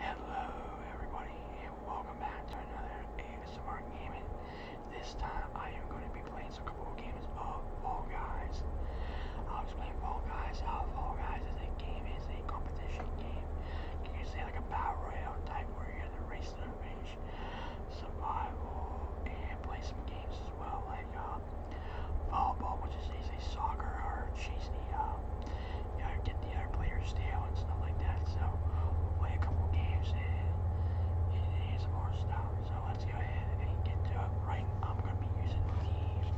Hello everybody and welcome back to another ASMR gaming. This time I am going to be playing a couple of games of Fall Guys. I'll explain Fall Guys, Fall Guys is a game, is a competition game. Can You can say like a battle royale type where you're in the race to the survival, and play some games as well like uh, uh, volleyball, which is they say soccer, or she's the, uh, you know, get the other players down and stuff like that. So we'll play a couple games and, and, and some more stuff. So let's go ahead and get to it right. I'm going to be using the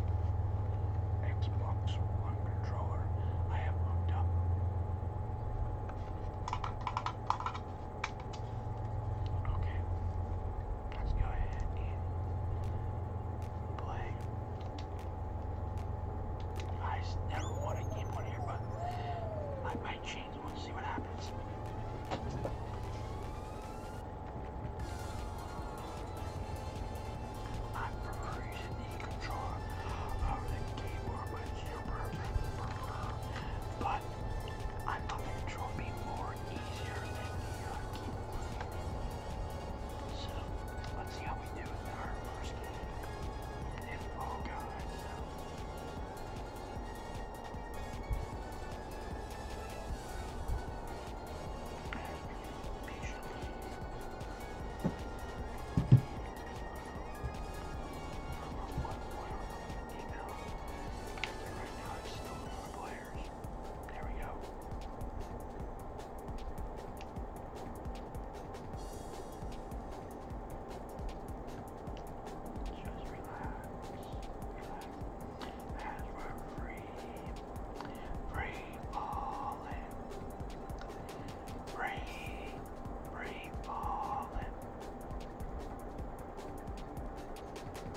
Xbox One controller I have hooked up. Okay. Let's go ahead and play. I never want to game on here, but I might change. We'll see what happens. I prefer using the controller over the keyboard, but I thought the more easier than New York. So let's see how we do with our first game. And if all oh guys. Email. Right now, I'm tires. There we go. Just relax. Relax. As we're free. Free falling. Free. Free falling.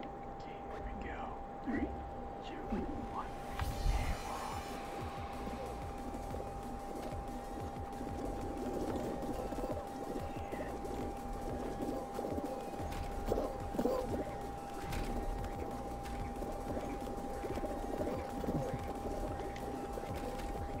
Okay, there we go. Three, two, one. And we're on. And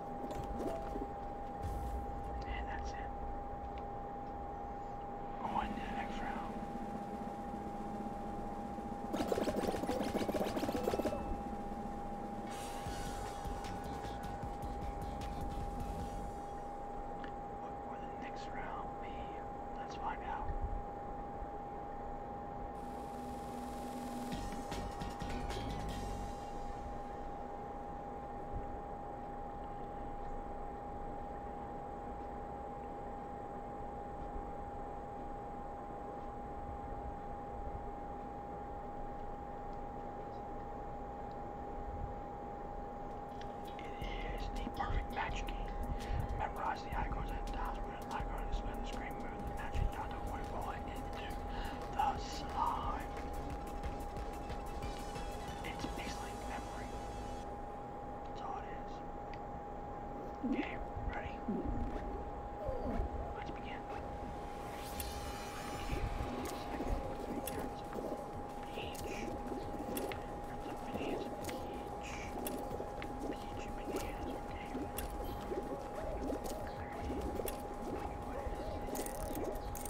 And that's it. On next round. What will the next round be? Let's find out. It is the perfect match game. Memorize the icons and tiles with an icon to spin the screen, move the magic dot to waterfall into the slime. It's basically memory. That's all it is. Okay, ready? Let's begin. Peach. Bananas. Peach. Peach bananas. Okay. Okay. What is this?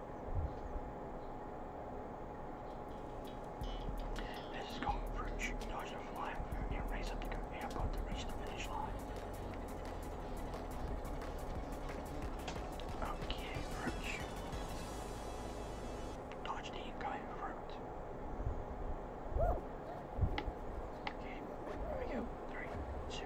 This is called fruit chicken nausea flying food and raise up the conveyor reach the finish line. Okay, fruit Dodge the incoming fruit. Okay, there we go. Three, two,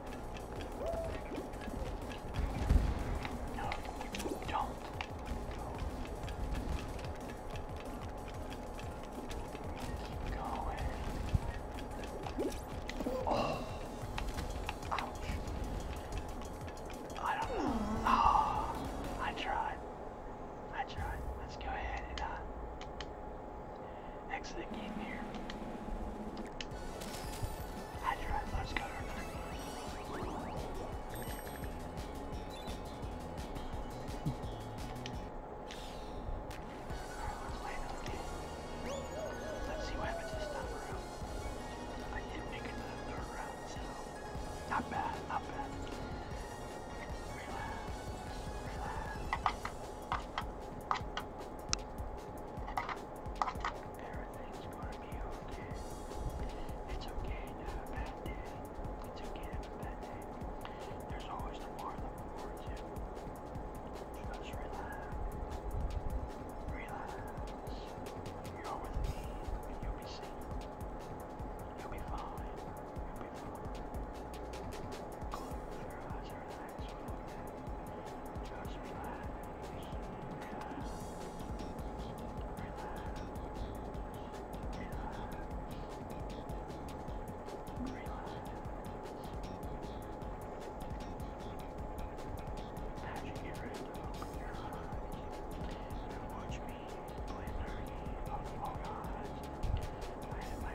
No, don't. Keep going. Oh. Ouch. I don't know. Oh, I tried. I tried. Let's go ahead and uh, exit the game here. I tried let's go or not. Alright, let's play another game. Let's see what happens this time around. I did make it to the third round, so not bad, not bad. Relax, relax. Everything's gonna be okay. It's okay to a bad day. It's okay to a bad day. There's always tomorrow that rewards Just relax. Relax. You're with me you'll be safe. You'll be fine. You'll be fine. Close your eyes, Watch me play nerdy of all gods. I am my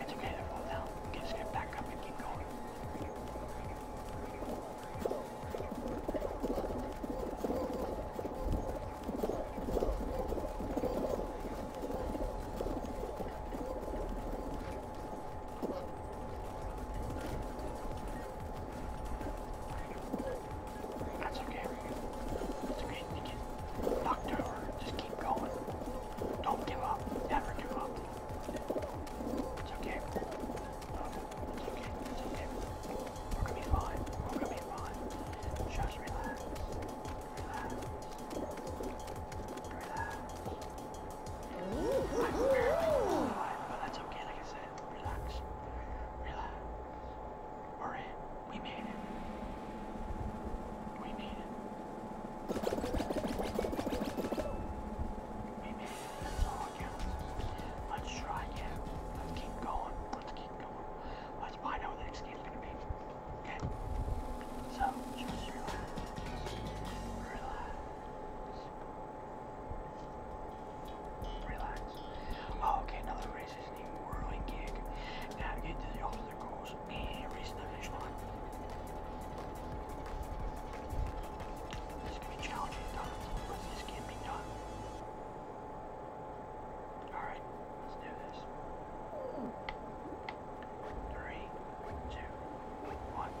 It's okay, they're both out. Just get back up and keep going. That's okay. It's okay. You get knocked over. Just keep going. Don't give up. Never give up. It's okay. Um, it's okay. It's okay. We're gonna be fine. We're gonna be fine. Just relax. Relax. Relax. I'm barely alive, but that's okay. Like I said, relax. Relax. We're in. We made it. We made it. We made it. That's Let's try again. Let's keep going. Let's keep going. Let's find out what the next game's gonna be. Okay? So, just relax. Relax. Relax. Oh, okay, now race isn't even whirling gig. Navigate to the from the goals every snuggish one. This can be challenging times, but this can be done. Alright, let's do this. Three, two, one, one.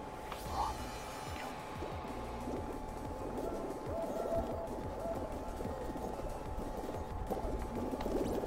Let's go.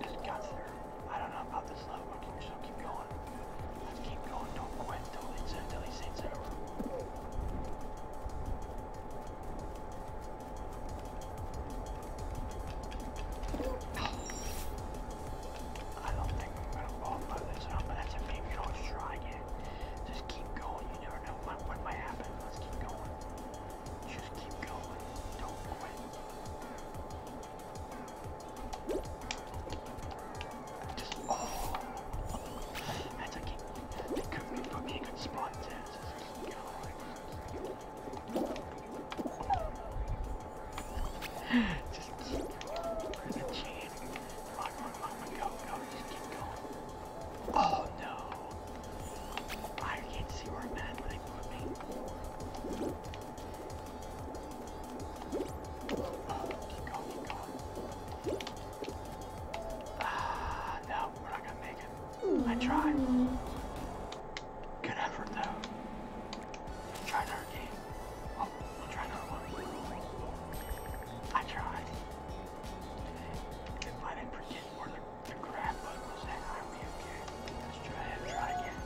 Just got there. I don't know about this level, so keep going. Let's keep going. Don't quit until it's until he says it's over. I don't think I'm gonna fall by this one, but that's a maybe you don't try again. Just keep going. You never know what might happen. Let's keep going. Just keep going. Don't quit. Just oh, that's okay. It could be for me a good spot just keep going. Just keep pressing the chain. Come on, go, go. Just keep going. Oh no. I can't see where I'm at when I put me. Oh, ah, no, we're not gonna make it. I tried. Good effort though. Try another game. Oh, we'll try another one. I tried. If I didn't forget where your grandpa was that army, okay? Let's try it, try again.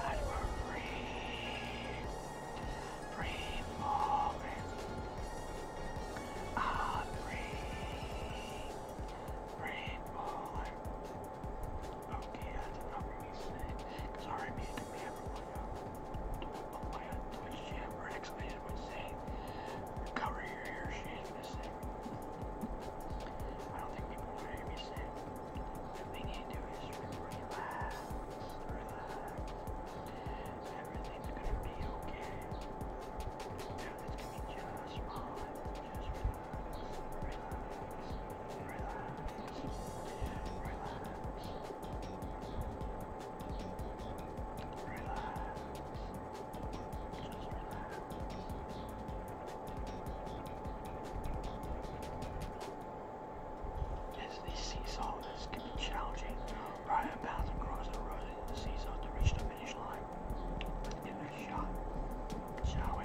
I am breathe. Breathe more, breathe. Ah, breathe. Breathe more. Okay, I did not really say. Sorry, me to be everyone. Oh my god, Twitch Jam or X-Men would cover your ears, hear me say. I don't think people want to hear me say. The thing you do is relax, relax. Everything's gonna be okay. Everything's gonna be just fine. Just relax, relax, relax, relax. Relax. As the seesaw, this can be challenging. Riding a bounce across the road in the seesaw to reach the finish line. Let's give it a shot, shall we?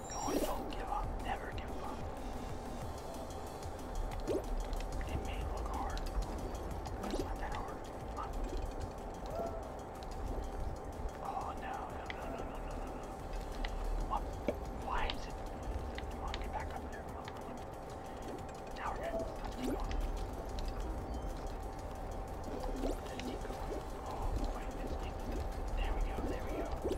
keep going, don't give up, never give up. It may look hard, but it's not that hard. Come on. Oh no, no, no, no, no, no, no, What? Why is it? Come on, get back up there. Now we're gonna keep going. Let's keep going. Oh boy, let's keep There we go, there we go.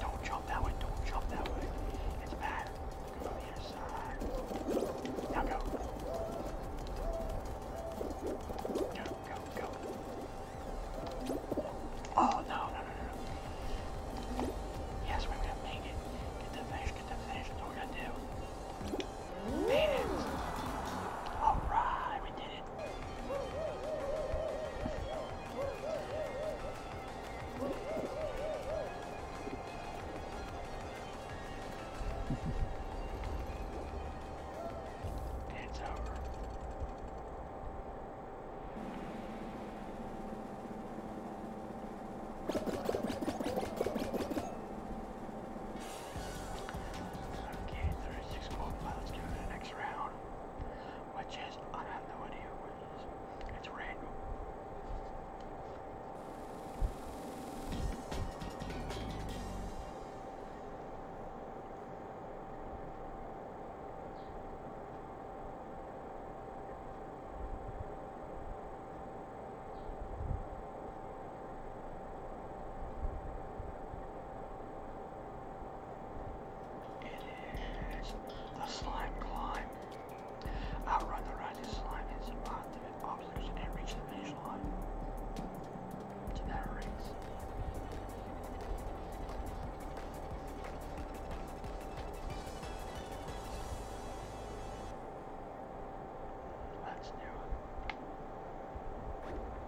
don't jump that way, don't jump that way. It's bad. Go on the other side. Now go. Go, go, go. Oh, no, no, no, no, Yes, we're gonna make it. Get the fish, get the fish. That's what we're to do. Made it. Alright, we did it. It's over. Okay, 36 gold. Let's give it an next round which is, I have no idea what it is. It's random. It is the slime climb. Outrun the rising slime and survive the obstacles and reach the finish line. To that Let's do it.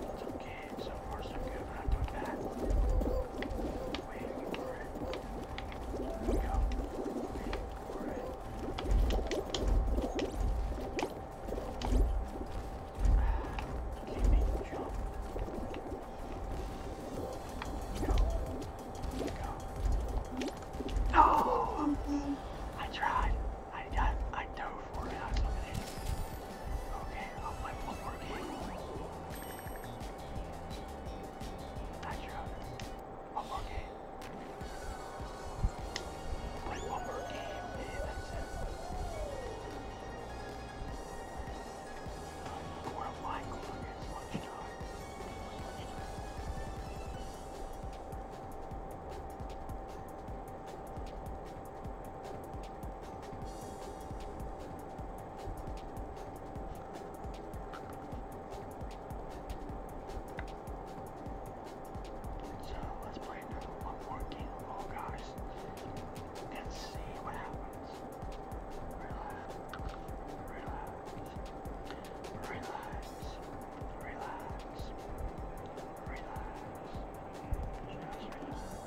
It's okay, so far so good, we're not doing bad. for it. go. Waiting for it. Keep making jump. Go. Go. No! I tried. I got I, I over 40 hours eliminated. Okay, I'll play one more game. Not sure. One more game. Play one more game, and that's it. Four of my clock is lunchtime. Lunchtime. So let's play another one more game of oh, all guys and see what happens. Relax, relax, relax, relax, relax, just relax.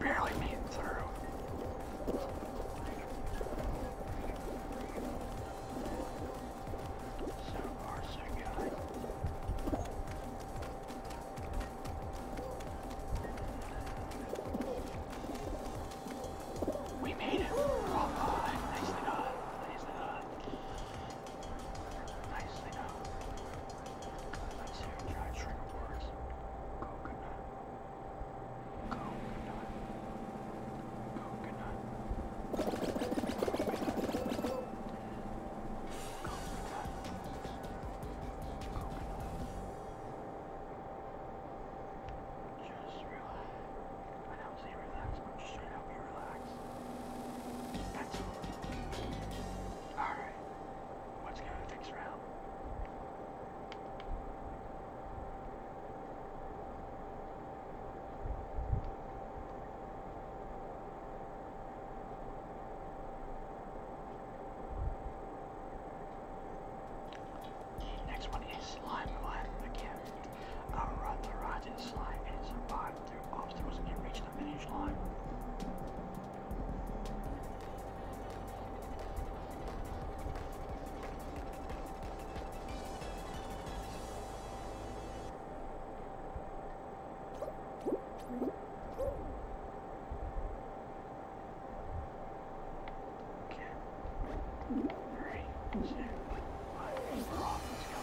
Barely made it through. So far, so good. We made it. Oh, oh, nicely done. Nicely done. Nicely done. Let's hear dry trigger words. Coconut. Coconut. Coconut. Coconut. Coconut. Just relax. I don't say relax, but just try to help you relax. That's all. Alright. Let's go to the next round. The next one is slime one again. Our run the rotten slime and survived through obstacles and reached the finish line. Okay. Three, two, one, we're off. Let's go.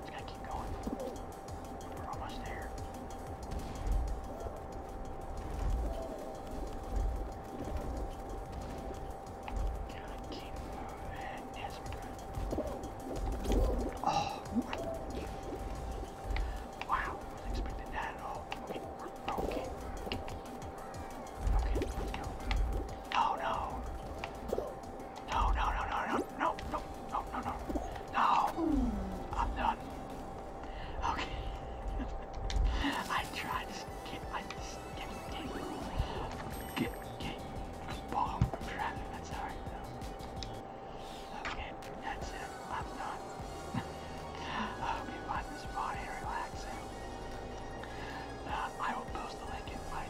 Just gotta keep going. We're almost there. Gotta keep moving. Yes, we're good. Oh, wow. I wasn't expecting that at all. Okay, we're broken. Okay, let's go. Oh no. No, no, no, no, no, no, no, no, no, no. No. I'm done. Okay. I tried to get I just get get get ball traffic, that's alright though. Okay, that's it. I'm done. I hope you find this body relaxing. Uh, I will post the link in my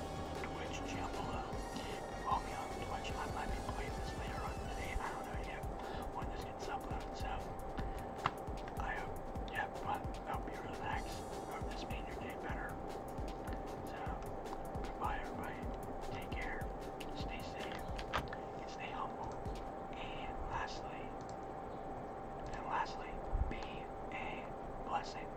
Twitch channel below. Follow me on Twitch. I might be playing this later on today. I don't know yet when this gets uploaded, so I hope you have fun. I hope you relax. I hope this made your day better. So, goodbye, everybody. Take care. Stay safe. stay humble. And lastly, and lastly, be a blessing.